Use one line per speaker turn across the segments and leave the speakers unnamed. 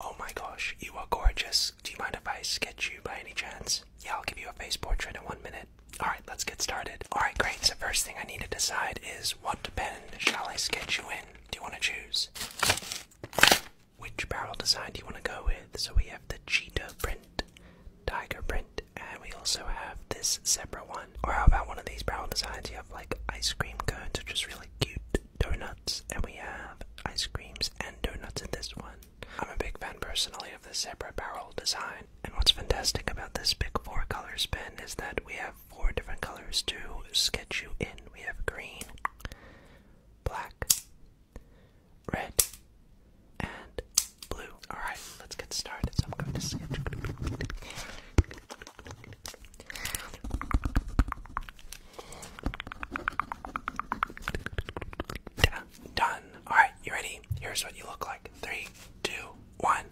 Oh my gosh, you are gorgeous. Do you mind if I sketch you by any chance? Yeah, I'll give you a face portrait in one minute. Alright, let's get started. Alright, great. So, first thing I need to decide is what pen shall I sketch you in? Do you want to choose? Which barrel design do you want to go with? So, we have the cheetah print, tiger print, and we also have this zebra one. Or, how about one of these barrel designs? You have like ice cream cones, which is really cute donuts, and we have ice creams and donuts in this one. I'm a big fan personally of the separate barrel design, and what's fantastic about this big four colors pen is that we have four different colors to sketch you in. We have green, black, red, and blue. Alright, let's get started. So I'm going to sketch done. Alright, you ready? Here's what you look like. Three, two, one.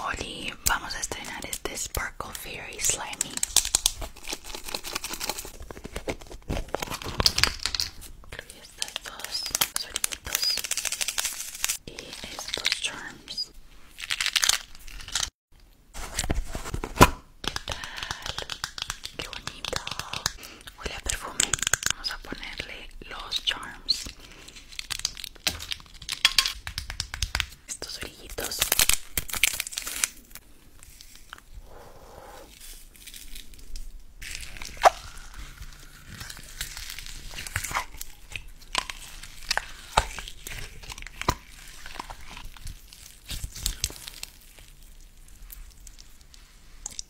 Hoy vamos a estrenar este Sparkle Fairy Slimy.
Incluye estas y estos charms.
tal? ¡Qué bonito! Huele a perfume. Vamos a ponerle los charms. Estos orillitos.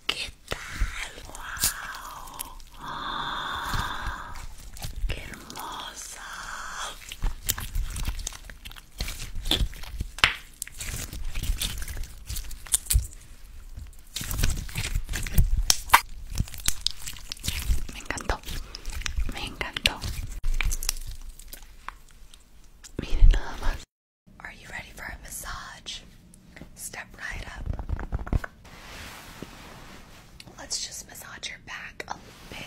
¿Qué tal? ¡Wow! ¡Qué hermosa! Me
encantó, me encantó. Are you ready for a massage? Step right up. Let's just massage your back a bit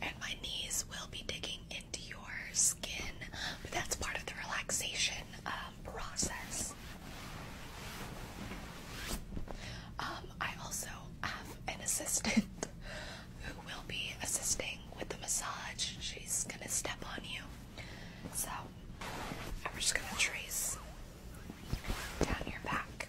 and my knees will be digging into your skin, but that's part of the relaxation um, process. Um, I also have an assistant who will be assisting with the massage. She's gonna step on you. So,
I'm just gonna trace down your back.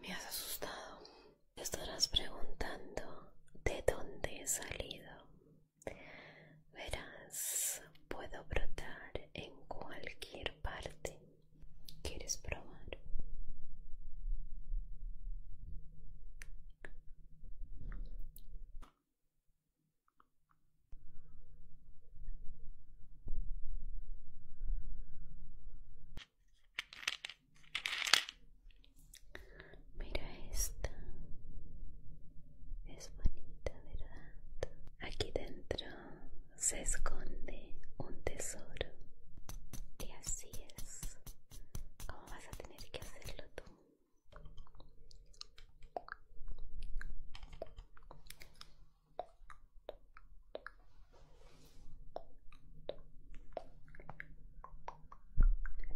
Me has asustado. estarás preguntando de dónde he salido. Verás, puedo brotar en cualquier parte. ¿Quieres probar? Mira esta. Es bonita, ¿verdad? Aquí dentro se esconde un tesoro. Y así es. ¿Cómo vas a tener que hacerlo tú?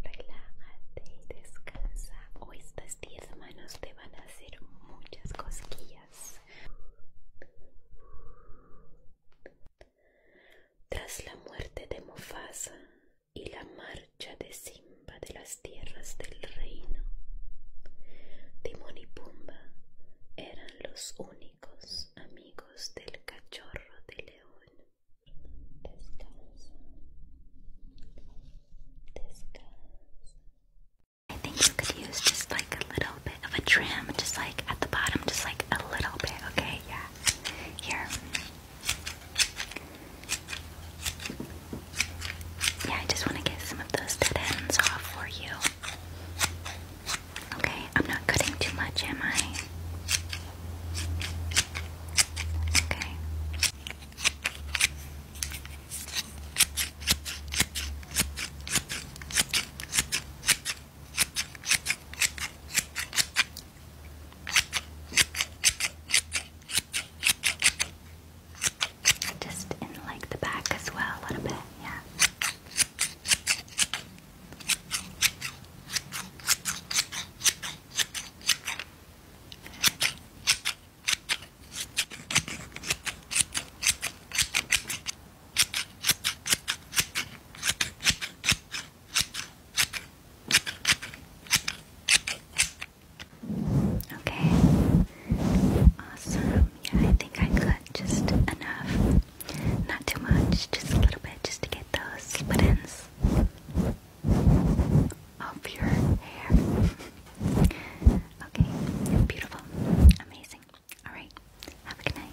Relájate y descansa. O estas diez manos te van a hacer muchas cosquillas. Tras la muerte de Mufasa y la marcha de Simba de las tierras del reino, Timón y Pumba eran los únicos I think you could use just
like a little bit of a trim, just like at the bottom, just like a little bit, okay? Yeah. Here. Yeah, I just want to get some of those dead ends off for you. Okay, I'm not cutting too much, am I? Okay. Just in like the back as well a little bit, yeah.
Okay. Awesome. Yeah, I think I cut just enough not too much, just a little bit, just to get those split ends of your hair. okay, beautiful, amazing. Alright, have a good night.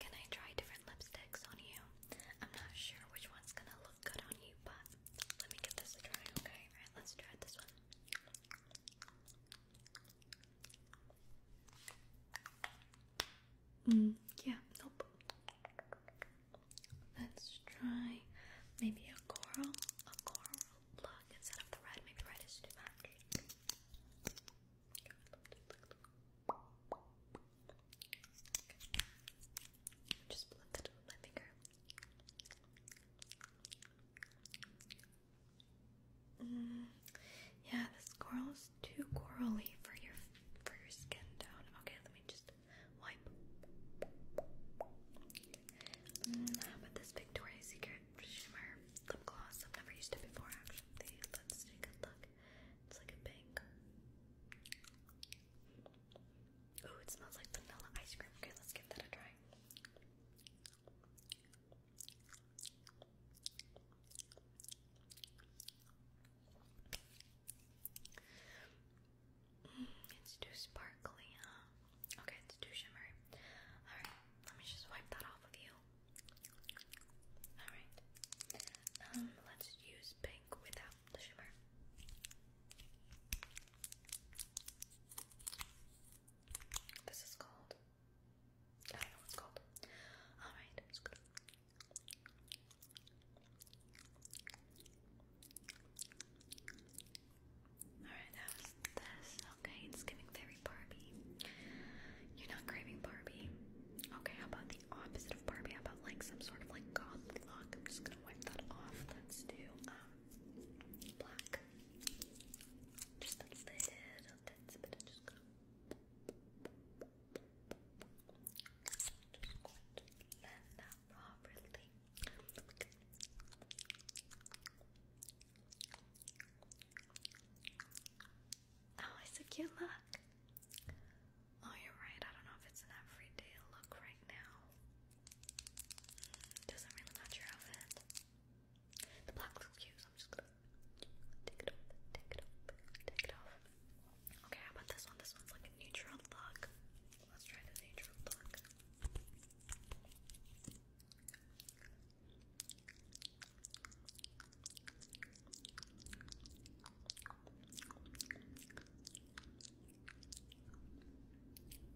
Can I try different lipsticks on you? I'm not sure which one's gonna look good on you, but let me give this a try, okay? Alright, let's try this one.
Mm, yeah, nope. Let's try maybe a coral, a coral look instead
of the red. Maybe red is too much.
Just blend it with my finger. Mm, yeah, this coral too corally for your for your skin tone. Okay, let me just wipe. Mm,
how this Victoria's Secret Shimmer Lip Gloss? I've never used it before, actually. Let's
take a look. It's like a pink.
Oh, it smells like vanilla ice cream. Okay, let's give that a try
it's too sparkly, huh? Okay, it's too shimmery. Alright, let me just wipe that off of you. Alright. Um, let's use pink without the shimmer. This is called I know what called. Alright, I'm Alright,
that was this. Okay, it's giving very Barbie. You're not craving Barbie. Okay, how about the opposite of Barbie? How about like some sort of like goth look? I'm just gonna wipe that off. Let's do um black. Just a little bit,
Oh, it's a cute look. Oh, you're right. I don't know if it's an everyday look right now. Doesn't really match your outfit. The black looks cute, I'm just gonna take it off, take it off, take it off. Okay, how about this one? This one's like a neutral look. Let's try the neutral look.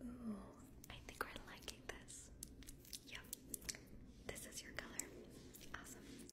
Ooh, I think we're liking this. Yep, this is your color. Awesome.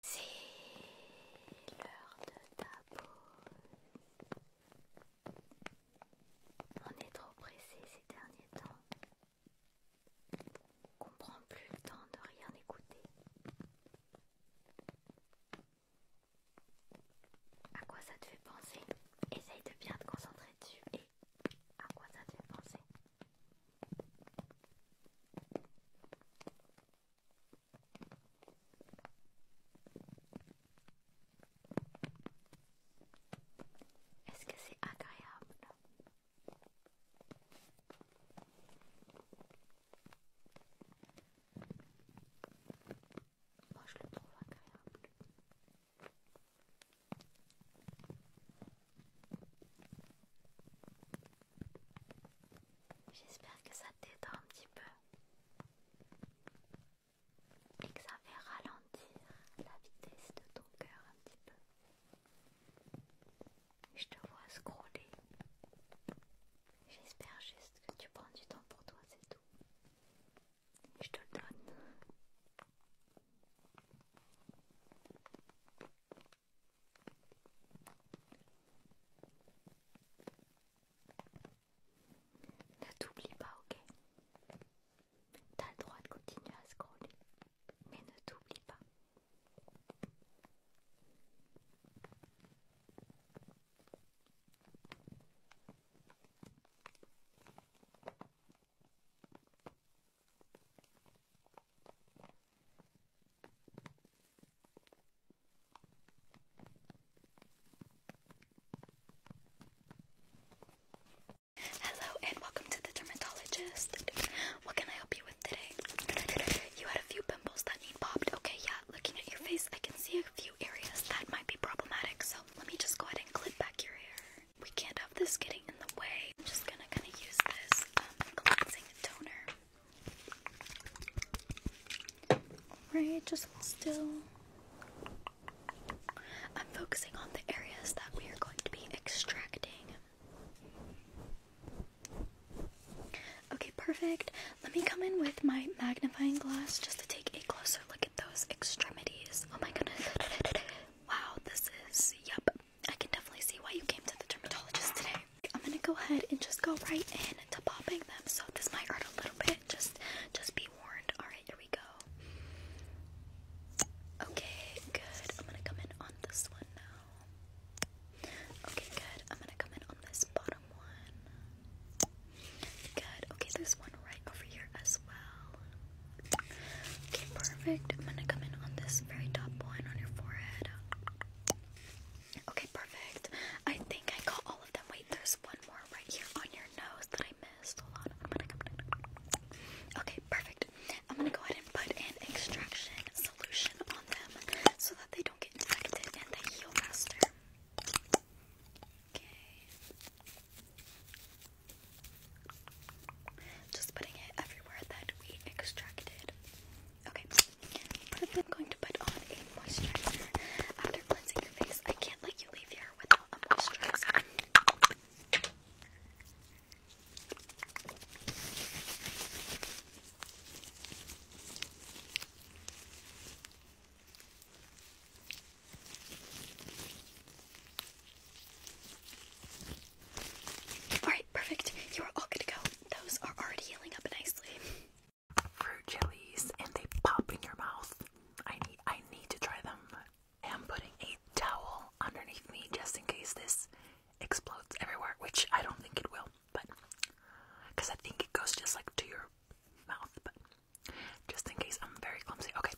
C'est l'heure de ta pause. On est trop pressé ces derniers temps qu'on prend plus le temps de rien écouter. À quoi ça te fait penser Essaye de bien te concentrer dessus et à quoi ça te fait penser est-ce que c'est agréable Moi je le trouve agréable. J'espère que ça t'aide un petit peu et que ça fait ralentir la vitesse de ton cœur un petit peu. Je te vois scroller. J'espère juste que tu prends du temps pour toi, c'est tout. Je te le donne. Ne t'oublie pas, ok T'as le droit de continuer à scroller, mais ne t'oublie pas.
Hello and welcome to the dermatologist. What can I help you with today? You had a few pimples that need popped. Okay, yeah, looking at your face, I can see a few areas that might be problematic. So let me just go ahead and clip back your hair. We can't have this getting in the way. I'm just gonna kind of use this um, cleansing toner. Right, just still. I'm focusing on the areas that we are going to be extracting. Okay, perfect. Let me come in with my magnifying glass just to take a closer look at those extremities. Oh my goodness. Wow, this is. Yep. I can definitely see why you came to the dermatologist today. I'm gonna go ahead and just go right in to popping them. So this might hurt a little bit. Just, just be warned. All right, here we go. Okay, good. I'm gonna come in on this one now. Okay, good. I'm gonna come in on this bottom one. Good. Okay, there's one right over here as well. Okay, perfect. I'm gonna come in on this very top one on your forehead. Okay, perfect. I think I got all of them. Wait, there's one more right here on your nose that I missed. Hold on. I'm Okay, perfect. I'm gonna go ahead and put an extraction solution on them so that they don't get infected and they heal faster. Okay. Just putting it everywhere that we extracted. Okay, I'm going to put on a moisturizer after cleansing your face. I can't let you leave here without a moisturizer. Alright, perfect.
You are all good to go. Those are already healing up nicely fruit jellies and they pop in your mouth. I need I need to try them. I am putting a towel underneath me just in case this explodes everywhere, which I don't think it will, but because I think it goes just like to your mouth, but just in case I'm very clumsy. Okay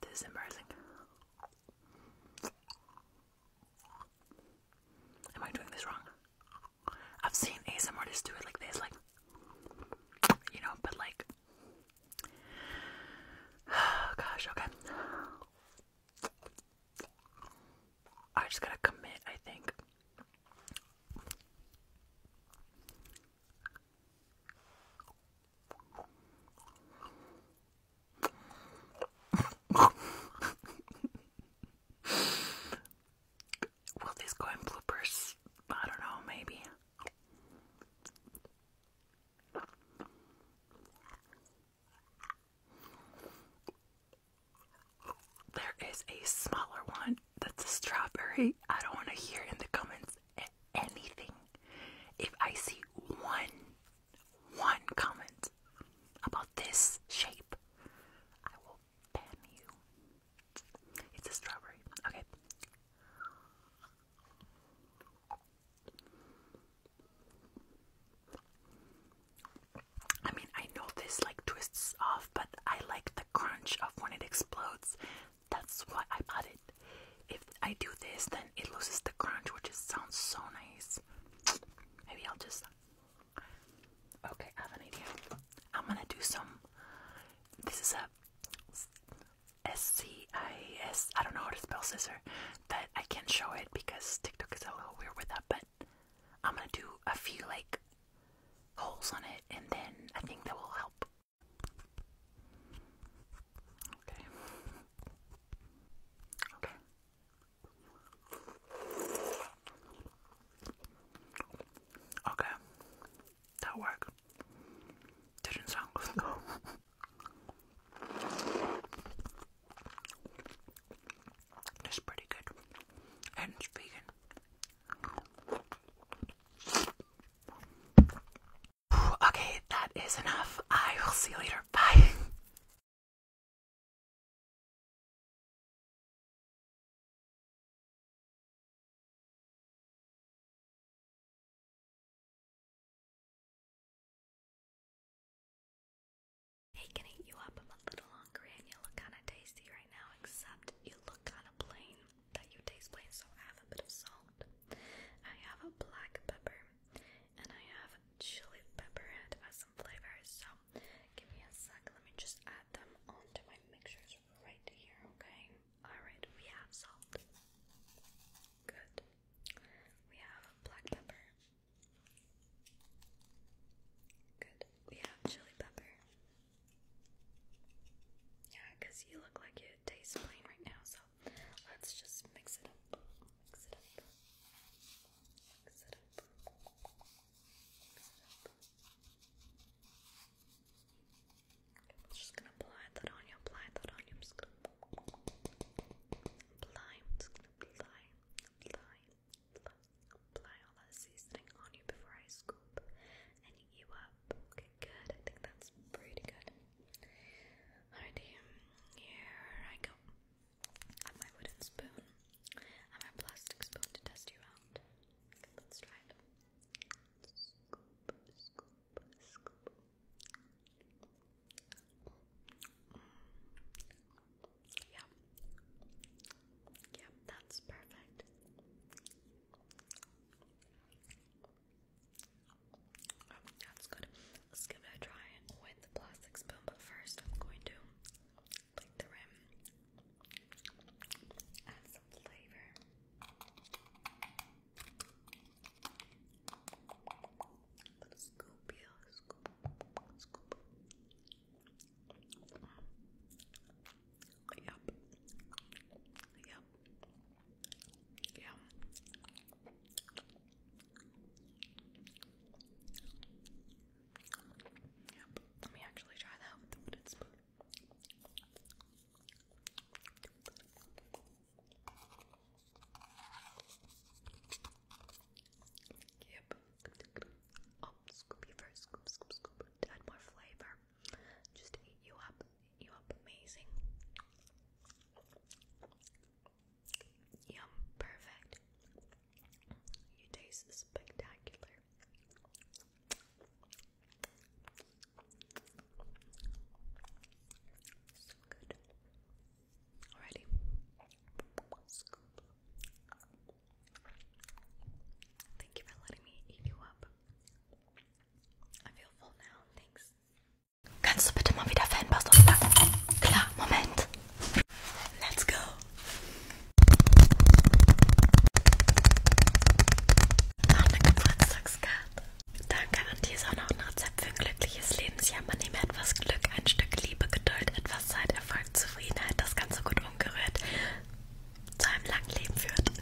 this is embarrassing. Am I doing this wrong? I've seen ASMR artists do it like this, like you know, but like, gosh, okay. I just gotta commit, I think. Will this go in bloopers? I don't know, maybe. There is a smaller one that's a strawberry. I don't want to hear in the comments anything. If I see one, one comment about this shape, I will ban you. It's a strawberry. Okay. I mean, I know this like twists off, but I like the crunch of when it explodes. That's why I bought it. If I do this, then it loses the crunch, which is, sounds so nice. Maybe I'll just. Okay, I have an idea. I'm gonna do some. This is a S C I S. I don't know how to spell scissor, but I can't show it because TikTok is a little weird with that. But I'm gonna do a few like holes on it and then I think that will help. Okay. Okay. Okay. That worked. Didn't sound good It's pretty good. And it's vegan. Okay, that is enough. I will see you later. Bye.
Hey, can eat you up? I'm a little hungry and you look kind of tasty right now, except you look kind of plain. That you taste plain, so I have a bit of salt. I have a black pepper and
I have a chili pepper and it
has some flavors. So give me a sec, let me just add them onto my mixtures right here, okay? Alright, we have salt. Good. We have black pepper.
Good. We have chili pepper. Yeah, you look
like it tastes plain right now, so let's just mix it up. Mix it up. Mix it up. Mix
it up. just gonna apply that on you, apply that on you. just gonna apply, just gonna apply,
apply, all that seasoning on you before I scoop and eat you up. Okay, good. I think that's pretty good. Alrighty, here I go. On my wooden spoon, on my plastic spoon to test you out.
let's try scoop. Yeah. Yep, that's perfect. Oh, that's good. Let's give it a try with the plastic spoon, but first I'm going to
plate the rim. Add some flavor. But scoop, yeah, scoop, Scoop. Yep. Yep. Yeah. Yep.
Let me actually try that with the wooden spoon. Yep. Oh, scoopy first, scoop, scoop, scoop. add more flavor. Just eat you up, you up amazing. Yum, perfect. You taste spectacular.
So good. Alrighty. Thank you for letting me eat you up. I feel full now. Thanks. Kannst du bitte mal wieder Fanpost auspacken? Klar, Moment.
Let's go. Noch eine Geburtstagskarte. Danke an dieser noch ein Rezept für ein glückliches Lebensjahr. Man nehme etwas Glück, ein Stück Liebe, Geduld, etwas Zeit, Erfolg, Zufriedenheit, das Ganze gut umgerührt zu einem langen Leben führt.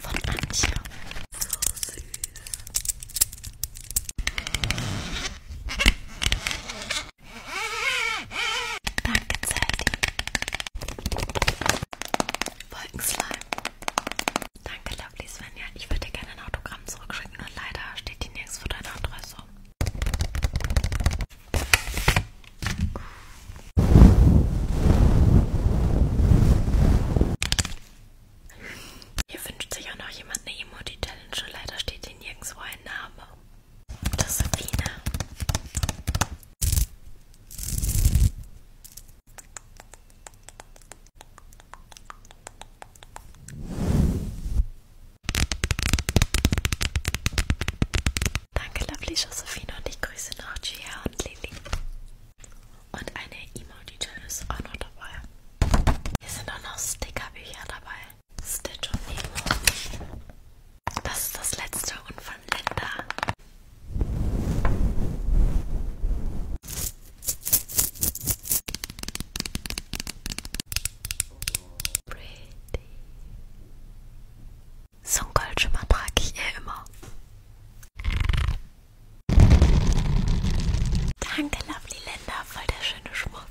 Von Antje. So süß.
Danke, Zeldi. Wolkenslime. Danke, Lovely Svenja. Ich würde dir gerne ein Autogramm zurückschicken, nur leider steht hier nirgends für deine Adresse.
Hier wünscht sich auch noch jemand eine Emoji-Challenge, leider steht hier nirgendwo ein Name. Josephine. Danke, Lovely Josephine und ich grüße noch Gia und Lili. Und eine Emoji-Tüte ist auch noch dabei. Hier sind auch noch Stickerbücher dabei. Stitch und Nemo. Das ist das letzte und von Linda. Pretty. So ein Goldschimmer trage ich eh immer.
Danke, Lovely Linda, voll der schöne Schmuck.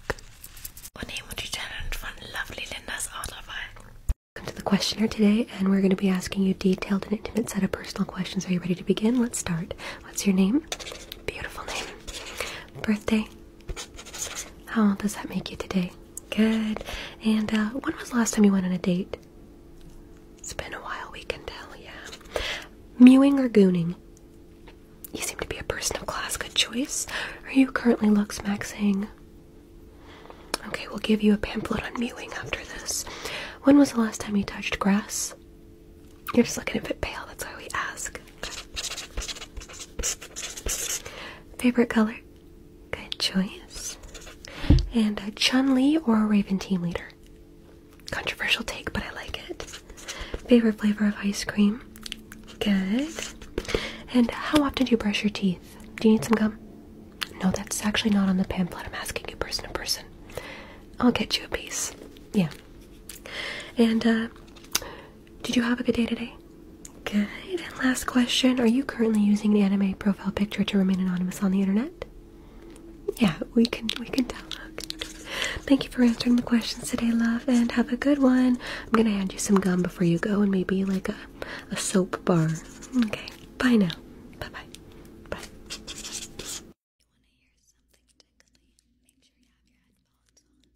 Oh Und Emoji Challenge von Lovely Linda ist Welcome to the questionnaire today, and we're going to be asking you a detailed and intimate set of personal questions. Are you ready to begin? Let's start. What's your name? Beautiful name. Birthday? How does that make you today? Good. And uh, when was the last time you went on a date? It's been a while, we yeah. Mewing or gooning? You seem to be a person of class. Good choice. Are you currently lux maxing? Okay, we'll give you a pamphlet on mewing after this. When was the last time you touched grass? You're just looking a bit pale, that's why we ask. Favorite color? Good choice. And a Chun Li or a Raven Team Leader? Controversial take, but I like it. Favorite flavor of ice cream? Good. And how often do you brush your teeth? Do you need some gum? No, that's actually not on the pamphlet. I'm asking you person to person. I'll get you a piece. Yeah, and uh, did you have a good day today? Good. And last question: Are you currently using an anime profile picture to remain anonymous on the internet? Yeah, we can we can tell. Thank you for answering the questions today, love, and have a good one. I'm gonna hand you some gum before you go, and maybe like a a soap bar. Okay. Bye now. Bye bye. Bye. If you want to hear something tickly, make sure you have your headphones on.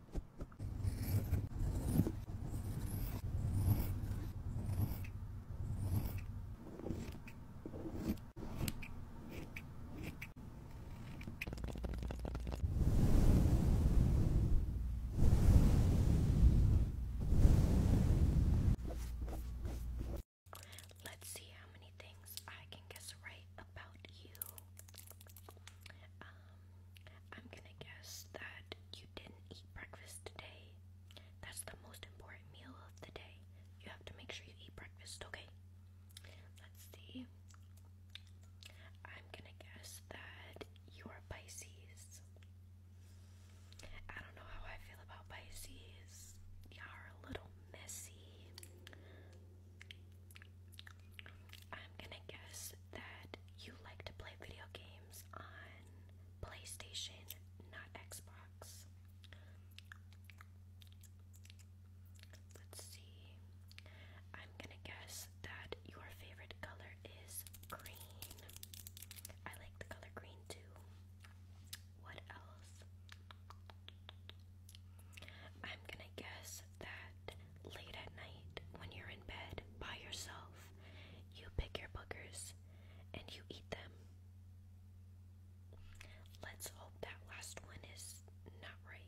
Let's see how many things I can guess right about you. Um, I'm gonna guess that you didn't eat breakfast today. That's the most important meal of the day. You have to make sure you eat breakfast, okay? Let's see. I'm gonna guess that you're Pisces. I don't know how I feel about Pisces. you are a little messy, I'm gonna guess that you like to play video games on PlayStation, not Xbox. Let's see. I'm gonna guess that your favorite color is green. I like the color green too. What else? I'm gonna guess that late at night when you're in bed by yourself, you pick your boogers and you eat them. Let's hope that last one is not right.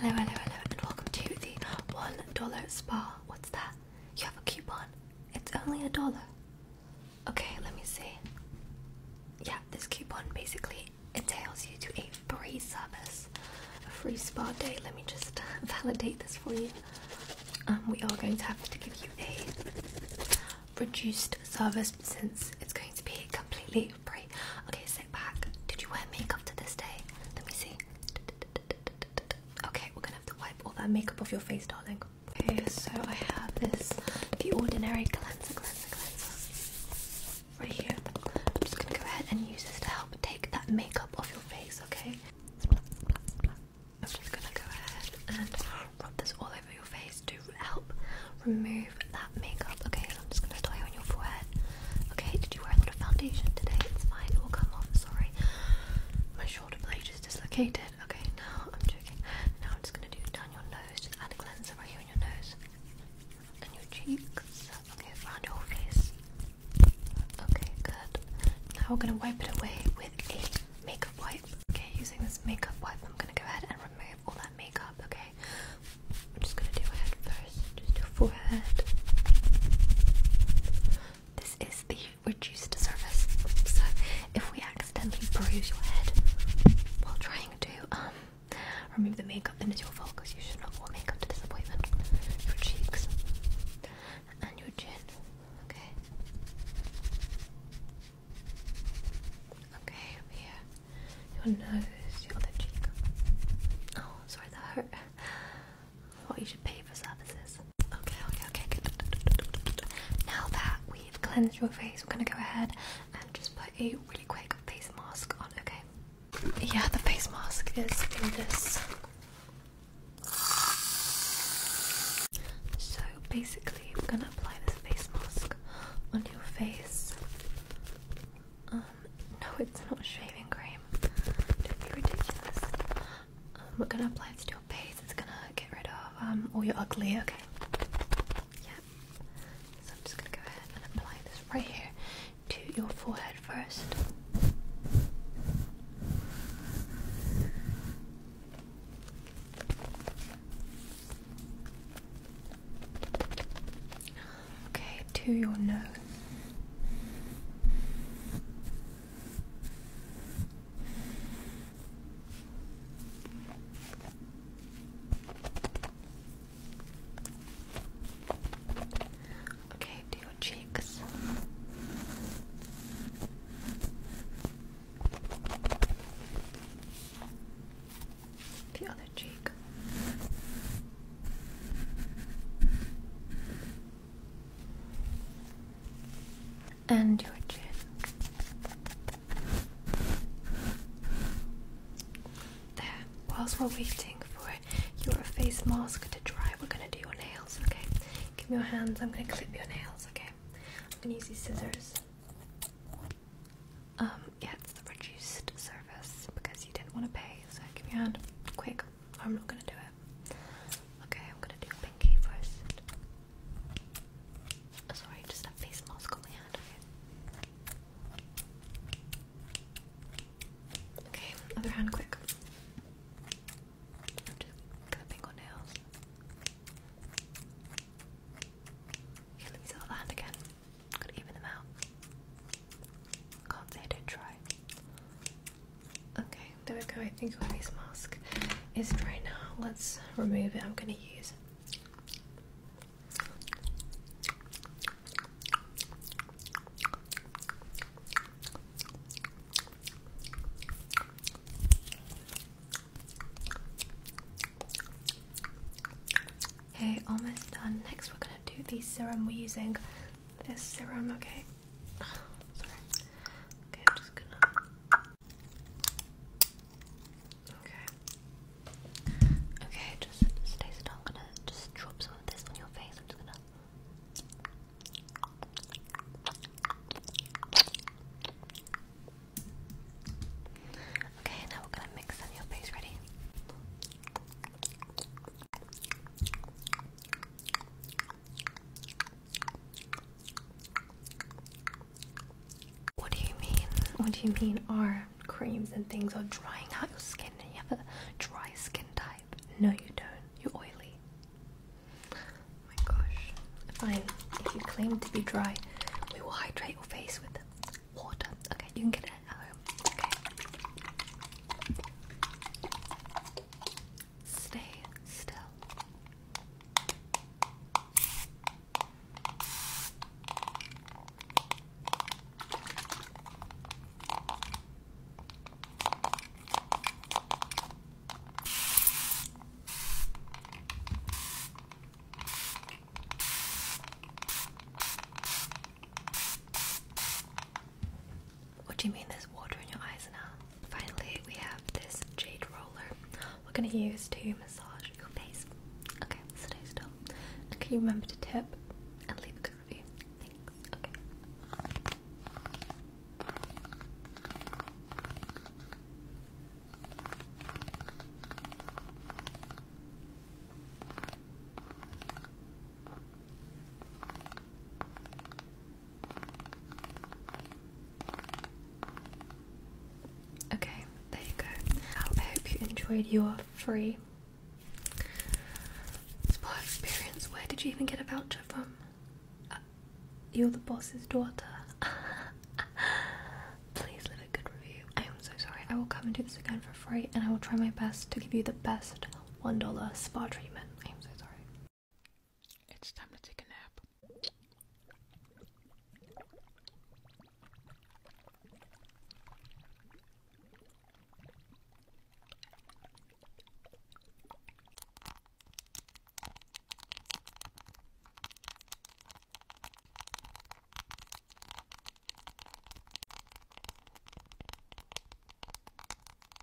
Hello, hello, hello, and welcome to the $1 spa. What's that? You have a coupon. It's only a dollar. Okay, let me see. Yeah, this coupon basically entails you to a free service, a free spa day. Let me just validate this for you. Um, we are going to have to give you a reduced service since it's going to be completely free. Okay, sit back. Did you wear makeup to this day? Let me see. Okay, we're gonna have to wipe all that makeup off your face, darling. Okay, so I have this The Ordinary Cleanser, Cleanser, Cleanser right here. I'm just gonna go ahead and use this to help take that makeup off your face, okay? I'm just gonna go ahead and rub this all over your face to help remove that makeup. Okay, so I'm just gonna start on your forehead. Okay, did you wear a lot of foundation today? It's fine, it will come off, sorry. I'm shoulder blade is dislocated. Okay, now I'm joking. Now I'm just gonna do down your nose, just add a cleanser right here on your nose. And your cheeks. Okay, around your face.
Okay, good. Now we're
gonna wipe it away with a makeup wipe. Okay, using this makeup wipe, I'm gonna go ahead and remove all that makeup, okay? I'm just gonna do my head first, just your forehead. This is the reduced surface. So if we accidentally bruise your head while trying to um remove the makeup, then it's your fault because you should not wear makeup to disappointment. Your cheeks and your chin. Okay. Okay, here. Your nose, your cheek. Oh, sorry, that hurt what you should pay for services. Okay, okay, okay, good. Now that we've cleansed your face, we're gonna go ahead and just put a really quick face mask on, okay? Yeah, the face mask is in this. So basically, I'm gonna apply this face mask on your face. Um, no, it's not shaving cream. Don't be ridiculous. Um, we're gonna apply this to your face. It's gonna get rid of um, all your ugly. Okay. Yeah. So I'm just gonna go ahead and apply this right here to your forehead first. Okay, to your nose. Okay, do your cheeks. The other cheek
and your chin.
There. Whilst we're waiting for your face mask to dry, we're gonna do your nails, okay? Give me your hands, I'm gonna clip your nails, okay? I'm gonna use these scissors. Um, yeah, it's the reduced service because you didn't want to pay, so give me your hand. Quick, I'm not gonna do it. Okay, I'm gonna do pinky
first. Oh, sorry, just a face mask on my hand.
Okay, other hand quick. I'm just nails. Okay, let me sell the hand again. Gotta even them out. Can't say I try. Okay, there we go. I think my face mask is dry now. Let's remove it. I'm going to use Okay, almost done. Next, we're going to do the serum. We're using this serum, okay? Sorry. Okay, I'm just gonna. Okay. Okay, just stay still. I'm gonna just drop some of this on your face. I'm just Okay, now we're gonna mix on your face. Ready? What do you mean? What do you mean? Our creams and things are drying out your skin and you have a dry skin type. No, you don't. You're oily. Oh my gosh. Fine. If you claim to be dry, we will hydrate your face with water. Okay, you can get it at home. Okay. Stay still. What do you mean there's water in your eyes now? Finally, we have this jade roller we're going to use to massage your face. Okay, stay still. can you remember to tip and leave a good review? Thanks. Okay. Okay, there you go. I hope you enjoyed your free spa experience. Where did you even get a voucher from? Uh, you're the boss's daughter. Please leave a good review. I am so sorry. I will come and do this again for free and I will try my best to give you the best $1 spa treatment. I am so sorry. It's time to take a nap.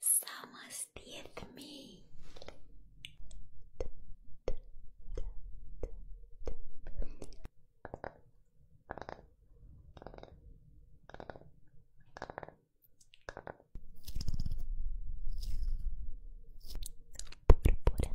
Someone steered me. Purpura,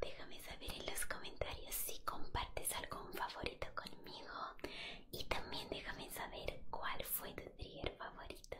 Déjame saber en los comentarios si compartes algún favorito conmigo y también déjame saber cuál fue tu trigger favorito.